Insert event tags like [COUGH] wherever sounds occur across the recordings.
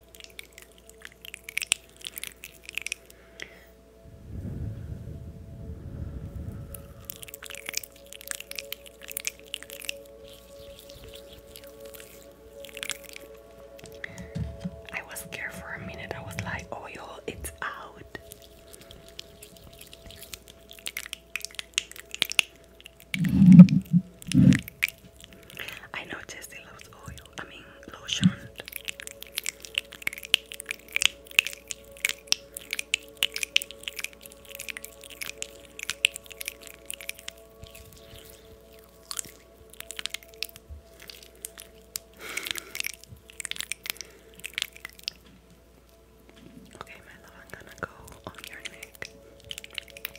I was scared for a minute. I was like, oh, yo, it's out. I noticed he loves oil, I mean lotion. Okay, my love, I'm gonna go on your neck.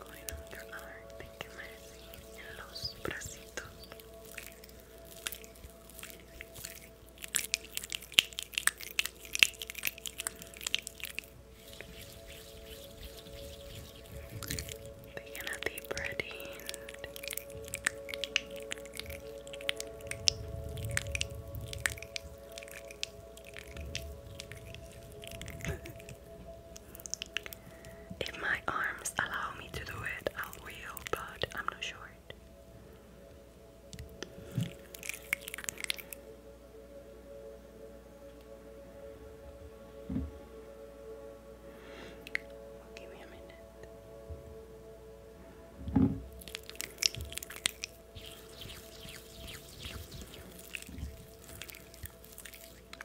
Hoy no quiero de quemarse en los bracitos. They're gonna be breading. If my arms allow me to do it, I will, but I'm not sure. Give me a minute.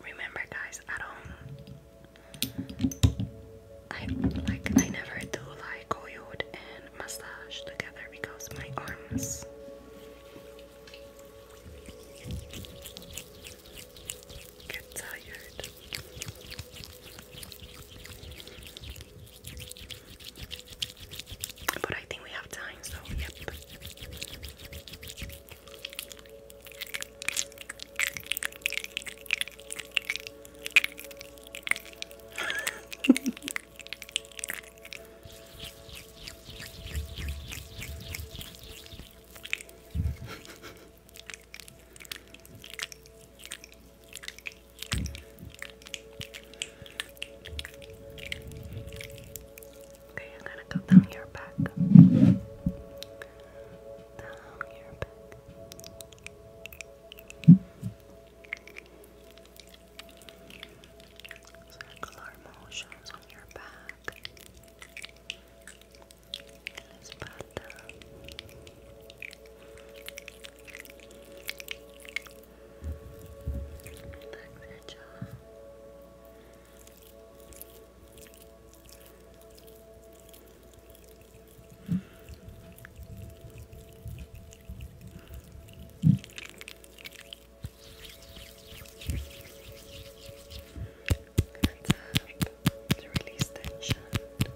Remember, guys, I don't. I like. I never do like oiled and massage together because my arms. Get tired. But I think we have time, so yep. [LAUGHS] Okay, I'm gonna go down your back. Down your back. Circular motions on your back. Let's put down. Relax your to release tension. Good.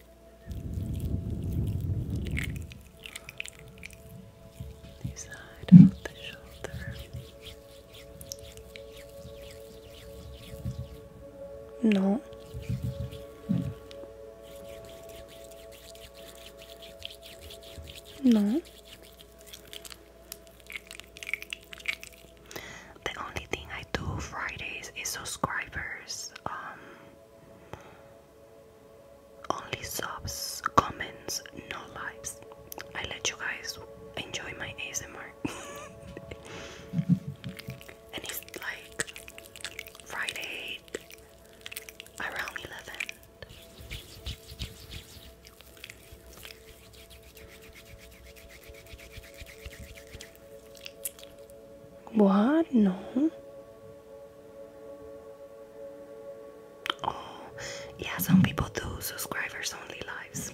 No. No. The only thing I do Fridays is subscribers. Um, only subs, comments, no lives. I let you guys enjoy my ASMR. [LAUGHS] and it's like Friday around 11. What? No. Oh, yeah, some people do subscribers only lives.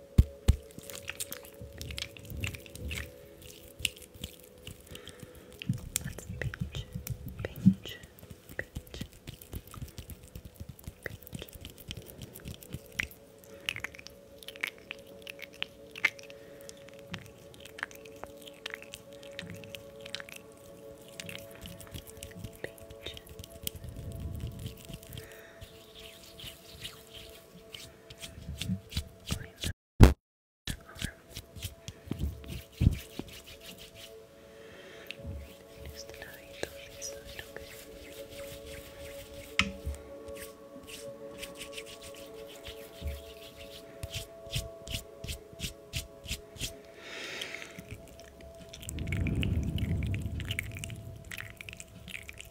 That's pinch, pinch, pinch, pinch. Pinch. Clean that over. Just tie it on this side, okay? Okay,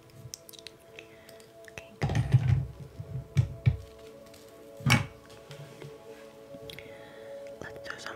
Okay, good. Let's do some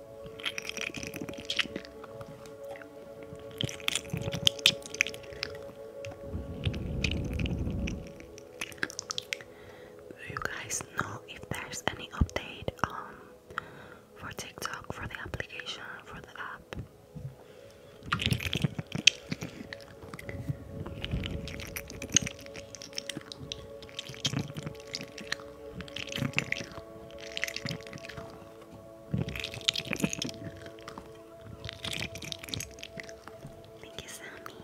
Do you guys know if there's any update um for TikTok for the application for the app? Thank you, Sammy.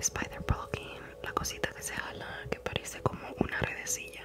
Spider Poking, la cosita que se jala, que parece como una redecilla.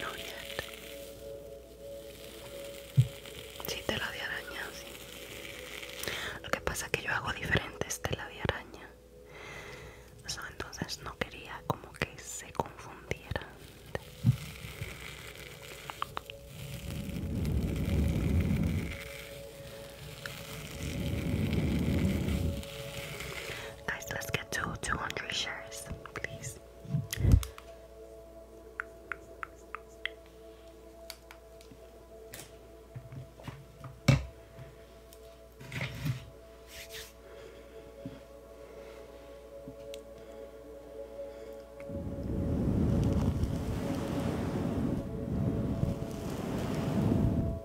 No, yet. Sí, tela de araña, sí. Lo que pasa es que yo hago diferentes tela de araña. entonces no quería como que se confundiera. Guys, let's get to 200 shares, please.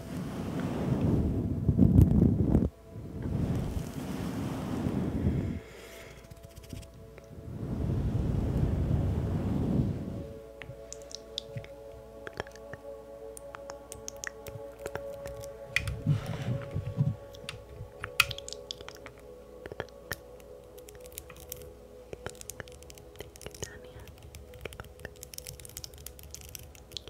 Thank you, Tanya.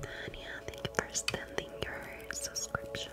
Tanya, thank you for standing your subscription.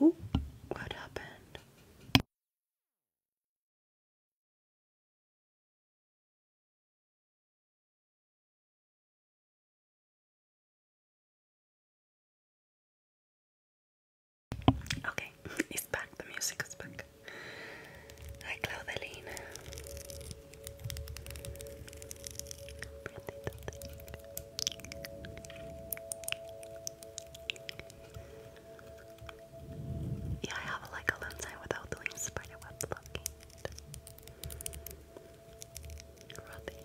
Ooh, what happened? Okay, it's back. The music is back. Hi, Claudeline. Yeah, I have like a lens eye without doing spider web blocking. Rubbing.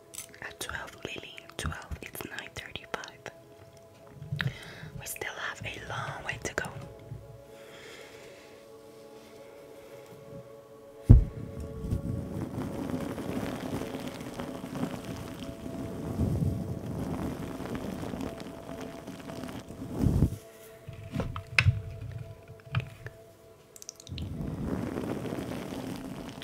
At 12, Lily. 12, it's 9.35. We still have a long way to go.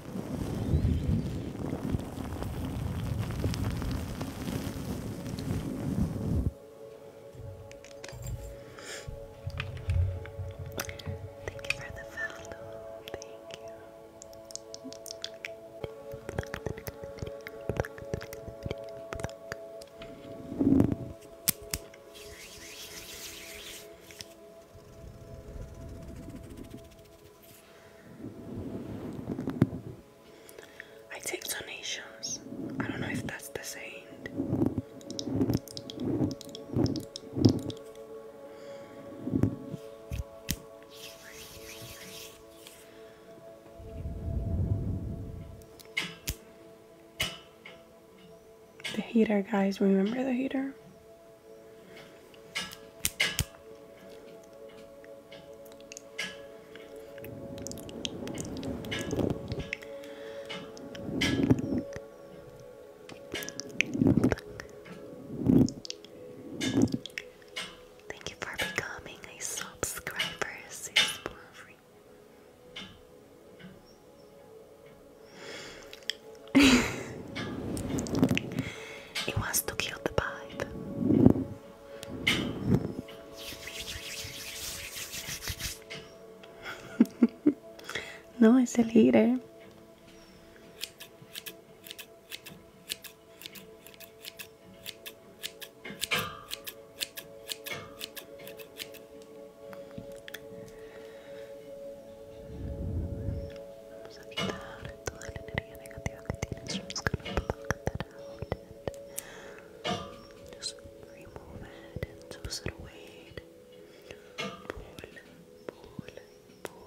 Thank you for the follow. Thank you. I take donations. I don't know if that's the same. The heater, guys, remember the heater? Thank you for becoming a subscriber, sis for free. [LAUGHS] He wants to kill the pipe. [LAUGHS] no, it's a leader toda you just gonna and just remove it away. Pull, pull, pull, pull, pull, pull.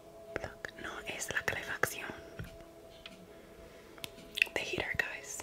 no es la calefacción the heater guys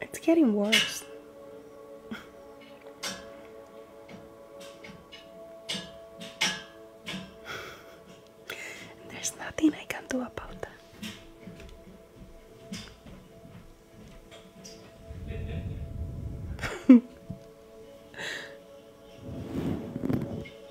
It's getting worse. [LAUGHS] There's nothing I can do about that. [LAUGHS]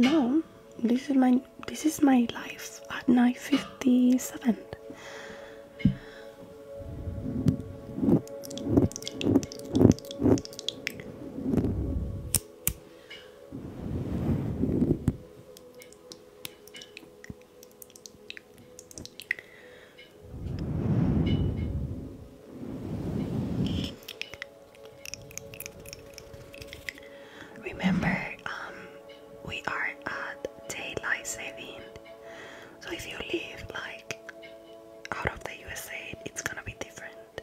No, this is my this is my life at 9:57. Remember, um, we are at daylight saving, so if you live like out of the USA, it's gonna be different.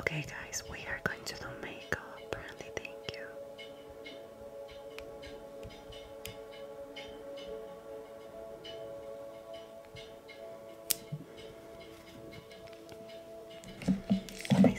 Okay, guys, we are going to do makeup. Brandy, thank you. I think.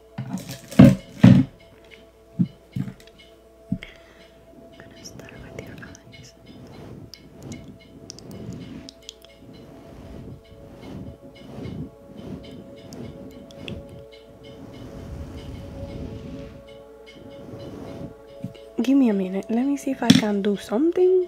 Give me a minute. Let me see if I can do something.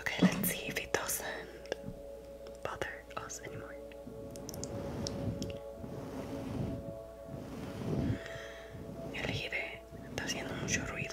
Okay, let's see if it doesn't bother El está haciendo mucho ruido.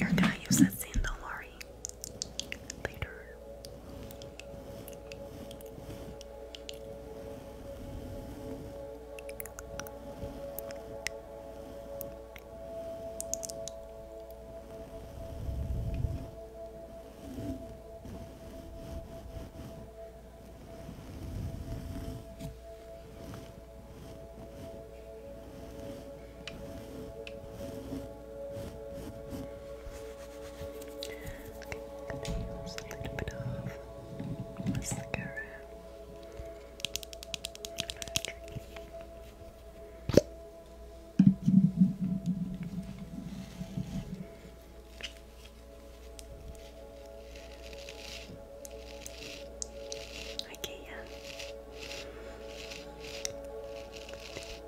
You're gonna use that scene, do later. Okay, use a little bit of mascara. Okay, yeah.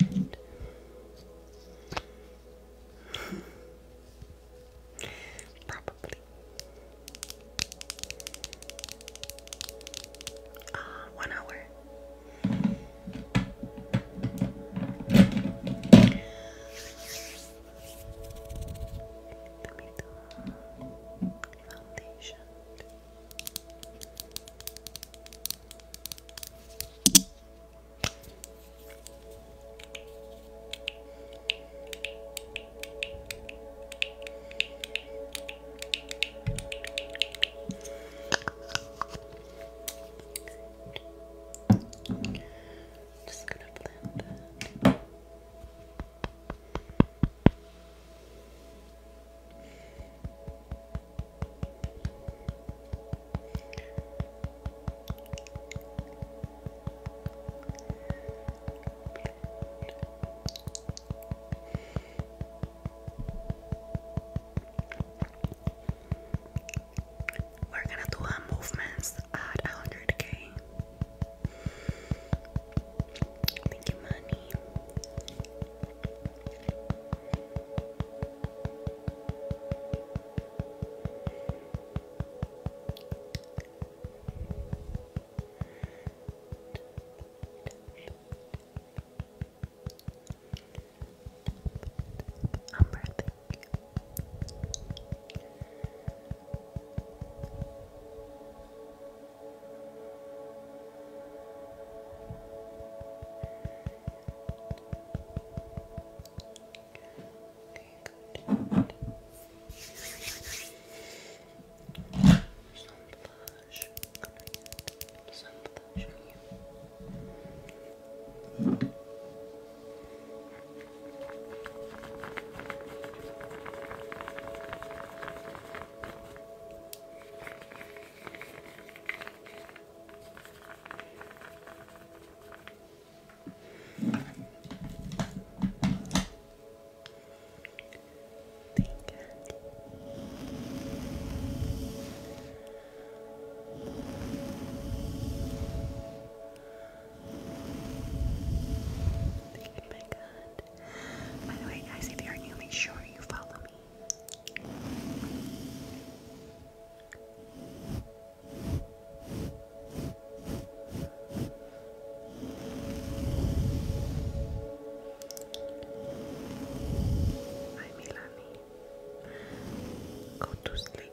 And Probably. Ah, one hour. foundation. Just gonna blend that. We're gonna do our movements at 100k. Thank you, money. I'm breathing. Good good. Some blush. Great. Some blush on you. Okay. Thank you, my God. By the way, guys, if you are new, make sure you follow me Hi, Milani. Go to sleep.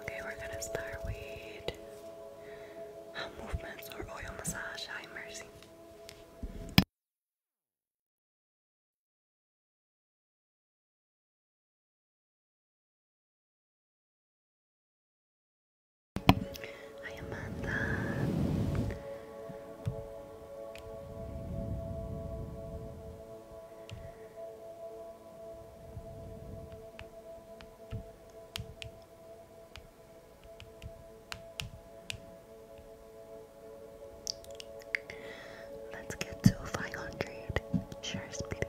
Okay, we're gonna start with uh, movements or oil massage. Hi, Mercy. Hi, Amanda. Let's get to 500 shares, please.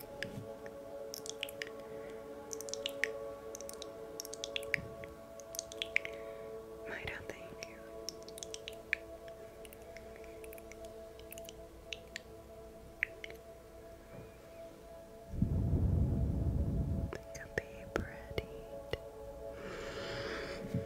Maida, thank you. Think I'll be pretty. I know.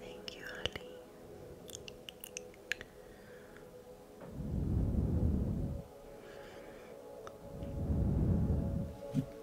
Thank you, Ali. Thank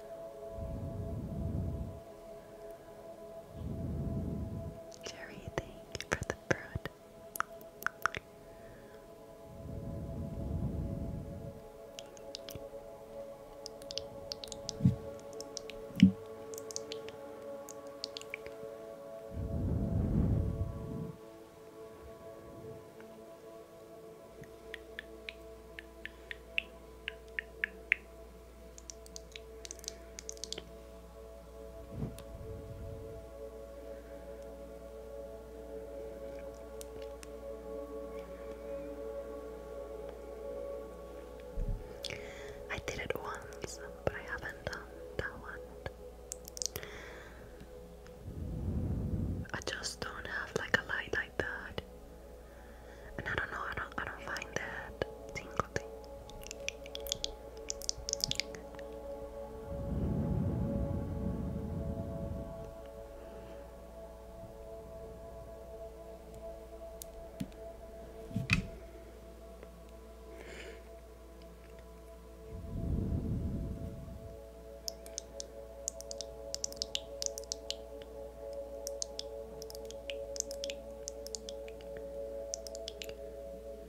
Jerry, thank you for the fruit. I did it once, but I haven't done that one. I just don't have like a light like that and I don't know, I don't, I don't find that tingling.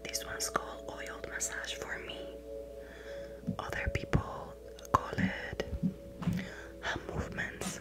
This one's called oiled massage for me. Other people call it hand movements.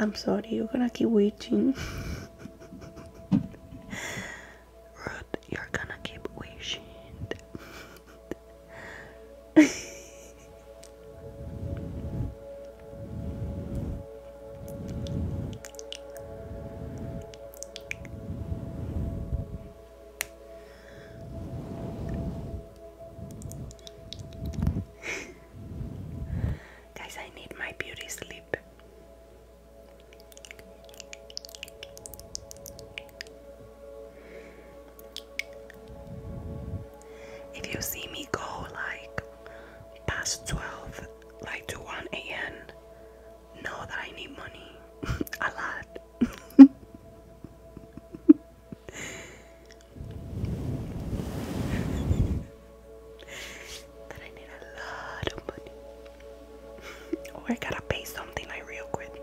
I'm sorry, you're gonna keep waiting. [LAUGHS] Ruth, you're gonna keep wishing. [LAUGHS] Guys, I need my beauty sleep. If you see me go like past 12, like to 1 a.m., know that I need money [LAUGHS] a lot. [LAUGHS] that I need a lot of money. [LAUGHS] or I gotta pay something like real quick.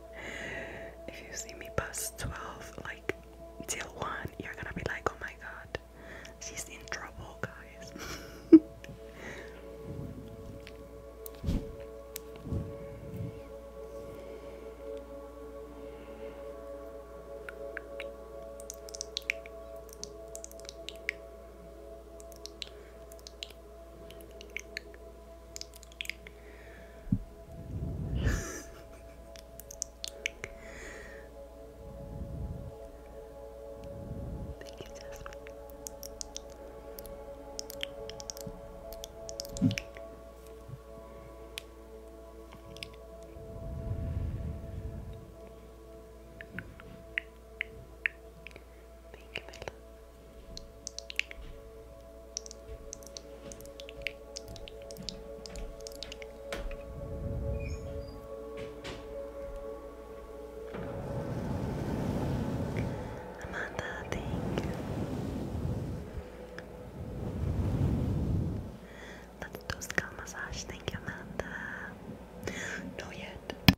if you see me past 12, like till 1, you're gonna be like, oh my god, she's in trouble, guys. [LAUGHS] Thank you, Jasmine. Thank you, my Amanda, thank you. Let's do massage. Thank you, Amanda. No yet.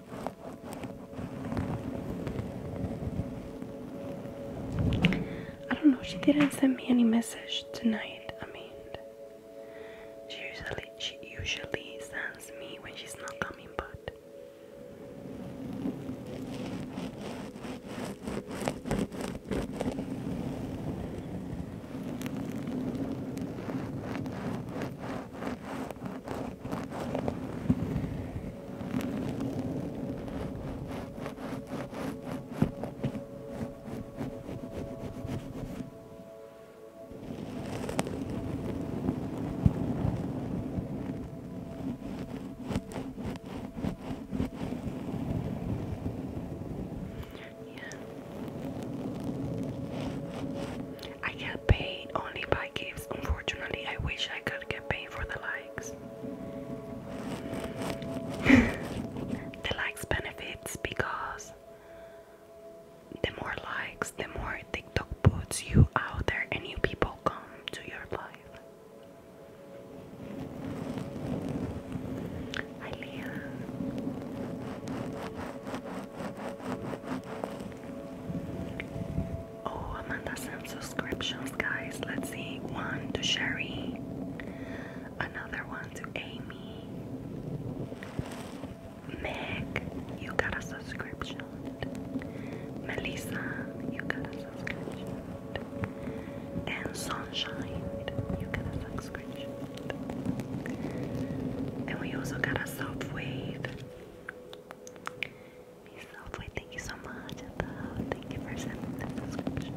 I don't know, she didn't send me any message tonight. I mean she usually she usually sends me when she's not coming but yeah. I paid only by gifts. Unfortunately, I wish I could get paid for the likes. [LAUGHS] the likes benefits because the more likes, the more TikTok puts you out there and new people come to your life. Hi Leah. Oh, Amanda sent subscriptions, guys. Let's see. One to Sherry, another one to Amy. Meg, you got a subscription. Melissa, you got a subscription. And Sunshine, you got a subscription. And we also got a soft Peace Selfway, thank you so much. Thank you for sending the subscription.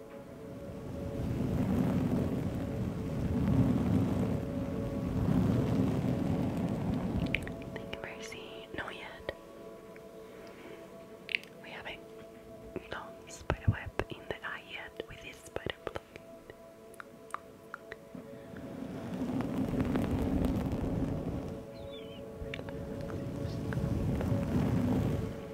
Thank you, Mercy. No yet. We haven't no spider web in the eye yet with this spider blade.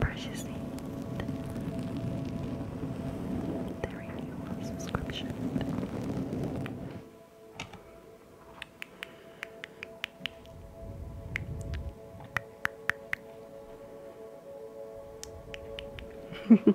Precious need. The renewal subscription. [LAUGHS]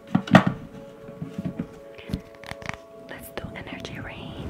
Let's do energy rain.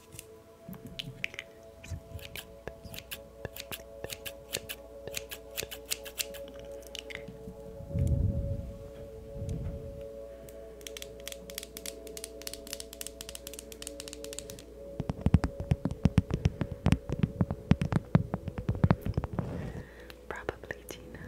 Probably Tina.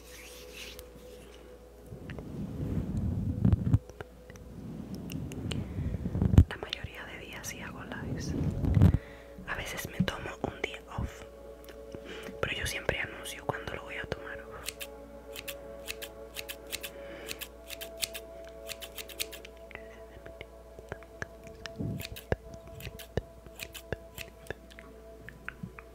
La mayoría de días sí hago lives. A veces me tomo un día off. Pero yo siempre anuncio cuando lo voy a tomar off.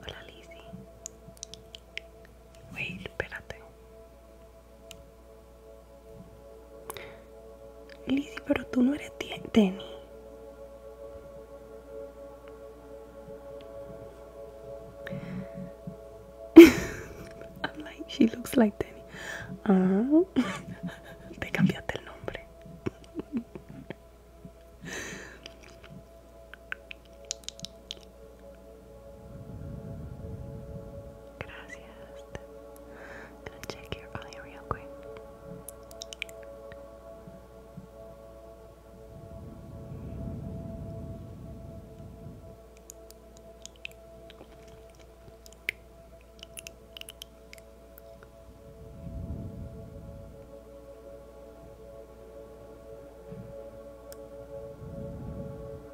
Hola Lizzy, Wait, espérate. Lizzy pero tú no eres Denny. [LAUGHS] I'm like, she looks like Danny. Ah, [LAUGHS] te cambiaste el nombre. Gracias. I'm check your eye real quick.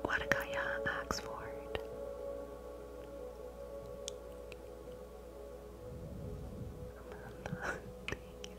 Wadakaya uh, Oxford. [LAUGHS] Thank you.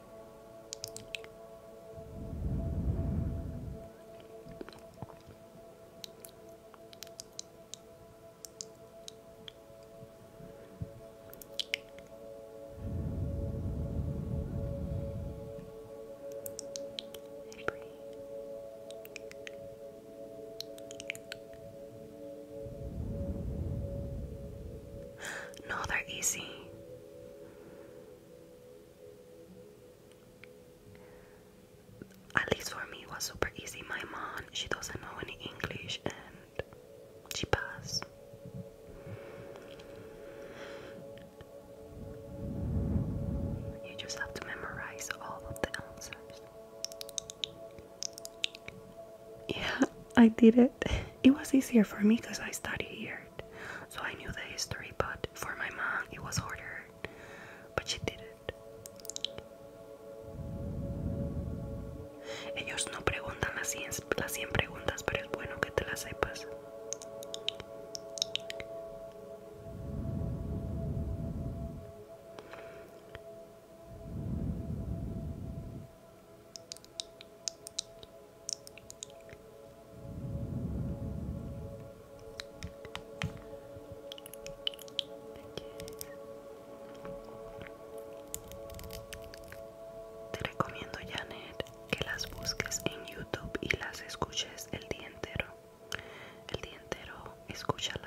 No, they're easy. At least for me, it was super easy. My mom, she doesn't know any English and she passed. You just have to memorize all of the answers. Yeah, I did it. It was easier for me because I studied it, so I knew the history, but for my mom it was harder. But she did it. Ellos no preguntan las 100, las 100 preguntas, pero es bueno que te Te recomiendo, Janet, que las busques en YouTube y las escuches el día entero. El día entero, escúchalas.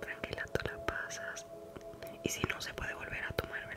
tranquila tú la pasas y si no se puede volver a tomar verdad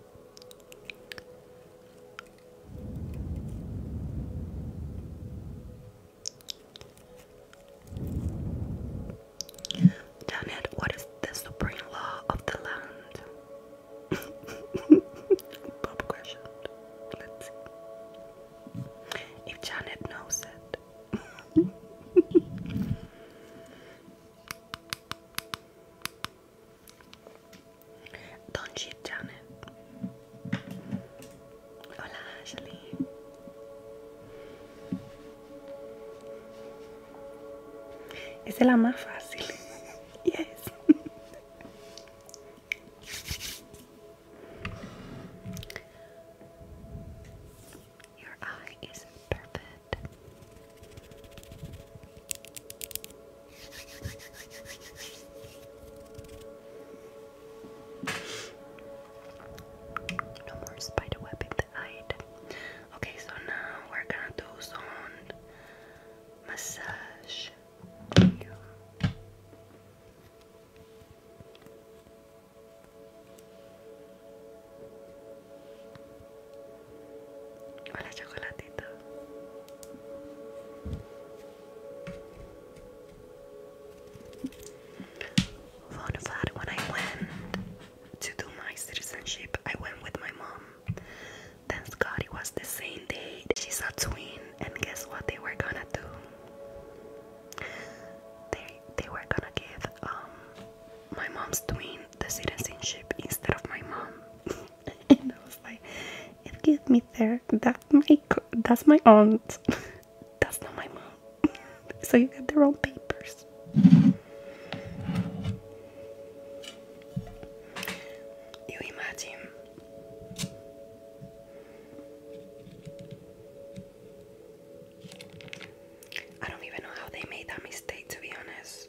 Damn what is the supreme law of the land? [LAUGHS] Pop question. Let's see. If Janet knows it. [LAUGHS] Don't cheat, Janet. Hola, Ashley. Esa es la más fácil. [LAUGHS] yes. No more spider web in the night. Okay, so now we're gonna do some massage. Hola, chocolatito. when I went to do my citizenship, I went with my mom. Thanks God it was the same day. She's a twin, and guess what they were gonna do? They they were gonna give um my mom's twin the citizenship instead of my mom. [LAUGHS] and I was like, it gets me there. That's my that's my aunt. [LAUGHS] that's not my mom. [LAUGHS] so you got the wrong papers. You imagine. I don't even know how they made that mistake to be honest.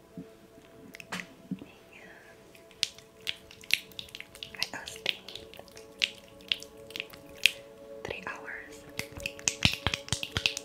I was three hours. Thank you.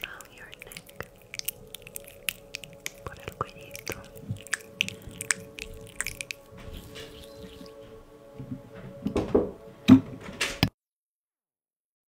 Now your neck por el cuellito.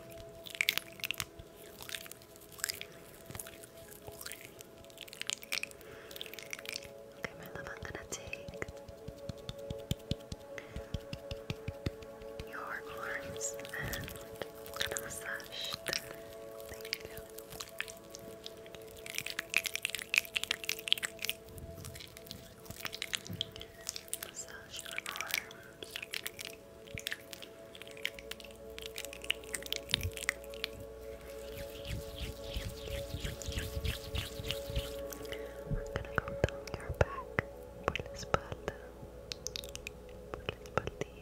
Okay, I'm gonna take your arms and massage them. Thank you. Massage your We're gonna go down your back. Por la espalda. Por Back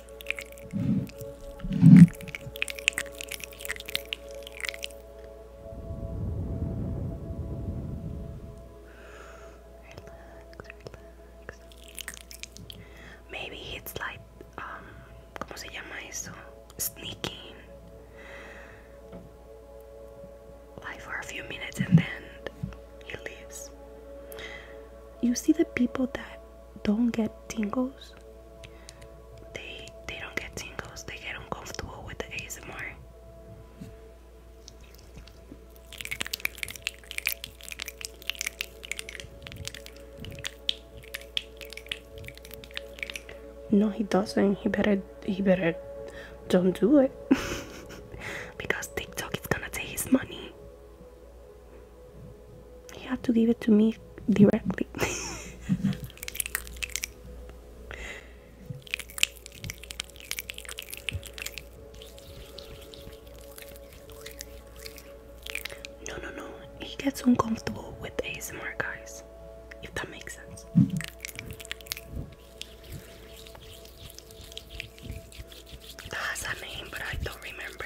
Maybe it's like, um, ¿cómo se llama eso? Sneaking. Like for a few minutes and then he leaves. You see the people that don't get tingles they they don't get tingles they get uncomfortable with the ASMR no he doesn't he better he better don't do it [LAUGHS] because TikTok is gonna take his money he had to give it to me directly. [LAUGHS] no, no, no. He gets uncomfortable with ASMR, guys. If that makes sense. That has a name, but I don't remember.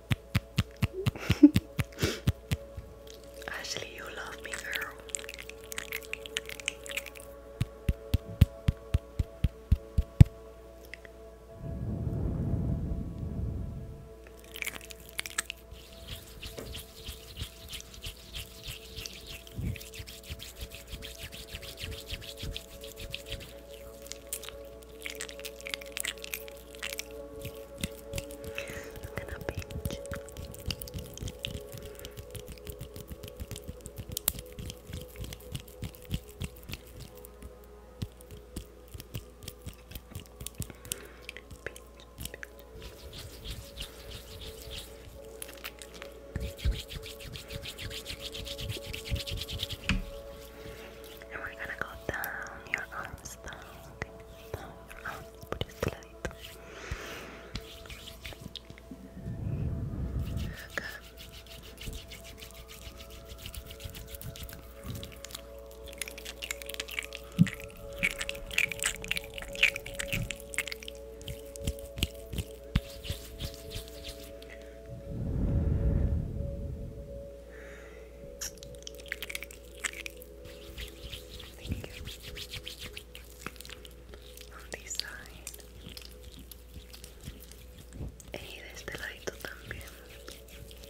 [LAUGHS] Ashley, you love me, girl. Look at that beach. And we're gonna go down your arms, down, down your bracelet. Okay. Thank you. Design. Y de este ladito también. Cuenta.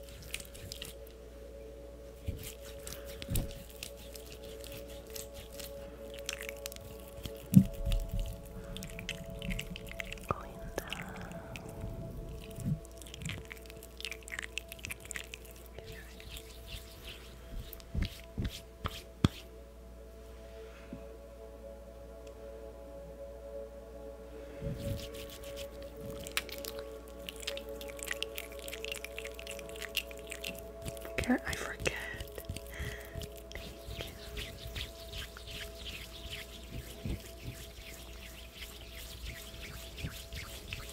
Care I forget. Thank you.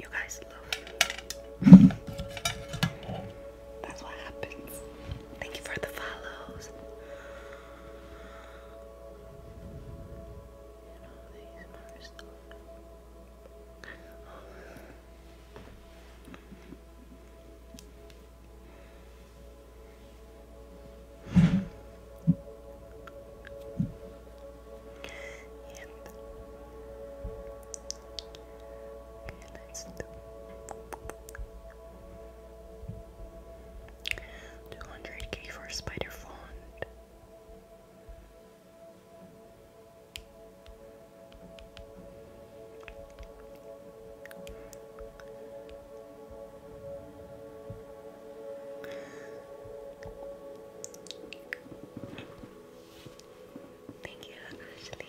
You guys love me. That's what happens. Thank you for the follows and all okay, let's do 200k for spider font Thank you, Ashley.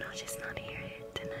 No, she's not here tonight.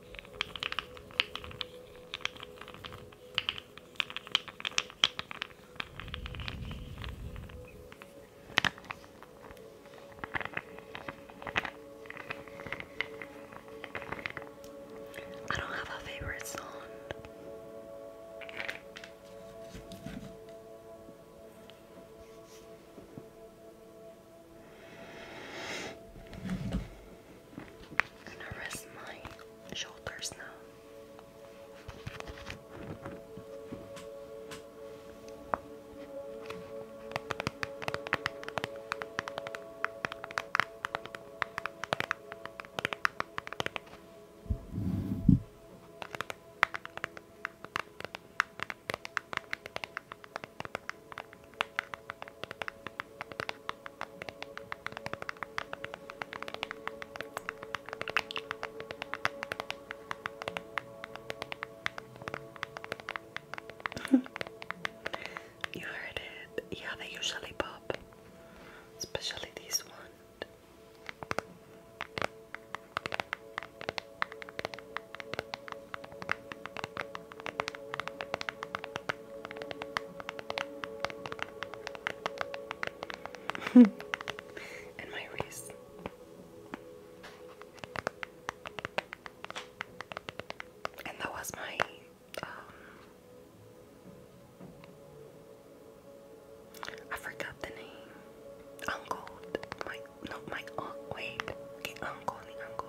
I don't have a favorite song. I'm gonna rest my shoulders now. [LAUGHS] you heard it. Yeah, they usually pop, especially these ones. [LAUGHS] and my wreath. And that was my um I forgot the name. Uncle. My no my aunt wait. Okay, uncle, uncle.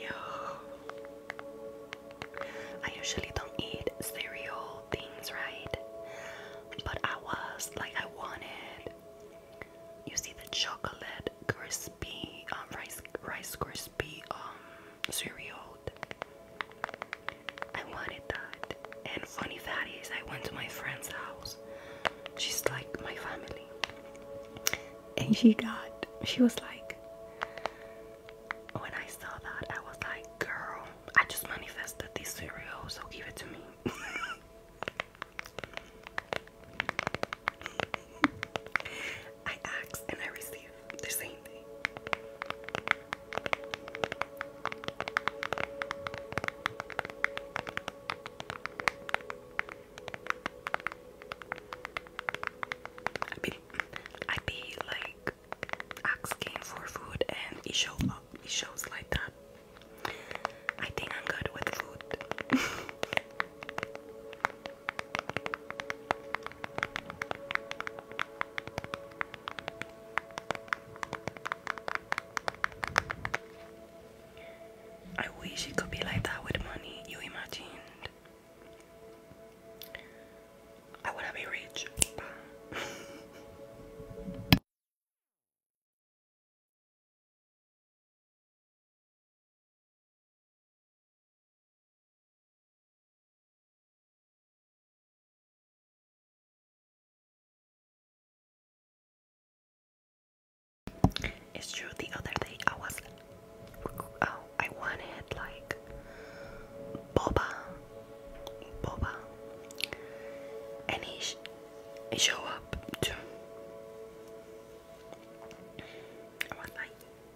Yo, I usually don't eat cereal things, right? But I was like, I wanted. You see the chocolate crispy um, rice, rice crispy um cereal. I wanted that. And funny fact is, I went to my friend's house. She's like my family. And she got, she was like, when I saw that, I was like, girl, I just manifested this cereal, so give it to me. [LAUGHS] [LAUGHS] I ask and I receive the same thing. I be, I be like asking for food and it shows up, it shows like that. I think I'm good with food. [LAUGHS] I wish it could be like that with money. You imagined. I wanna be rich. It's true. The other day I was, oh, I wanted like boba, boba, and he, he showed up too.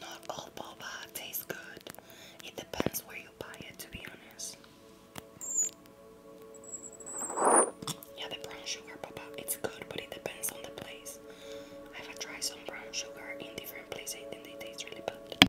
Not all boba tastes good. It depends where you buy it, to be honest. Yeah, the brown sugar, Papa, it's good, but it depends on the place. I have tried some brown sugar in different places and they taste really bad.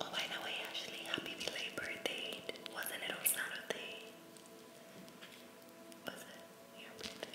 Oh, by the way, Ashley, happy belated birthday. Wasn't it on Saturday? Was it your birthday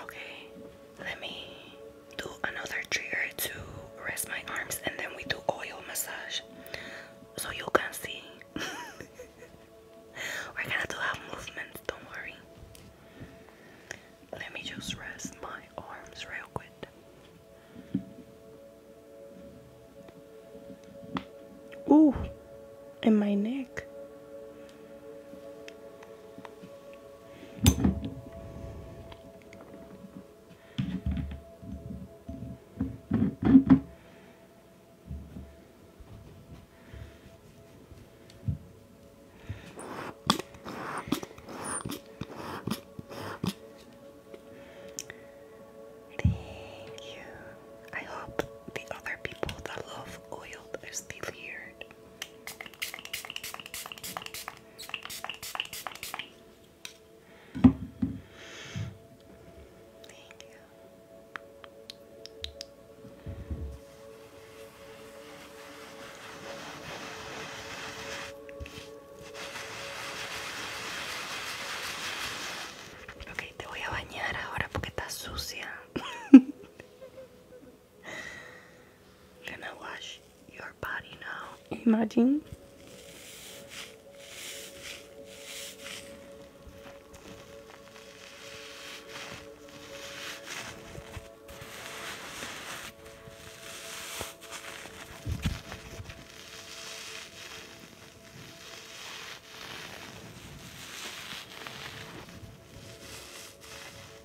Okay, let me do another trigger to rest my arms and then we do oil massage so you can see. [LAUGHS] We're gonna do have movements, don't worry. Let me just rest my arms real quick. Ooh, in my neck. Thank you. I hope the other people that love oil are still here. te voy a bañar ahora porque estás sucia. [LAUGHS] I'm gonna wash your body now. Imagine.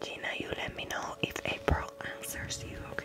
Gina, you let me know if April answers you, okay?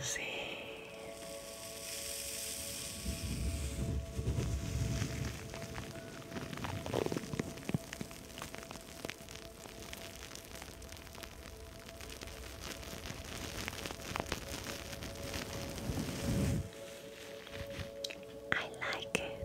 See. I like it.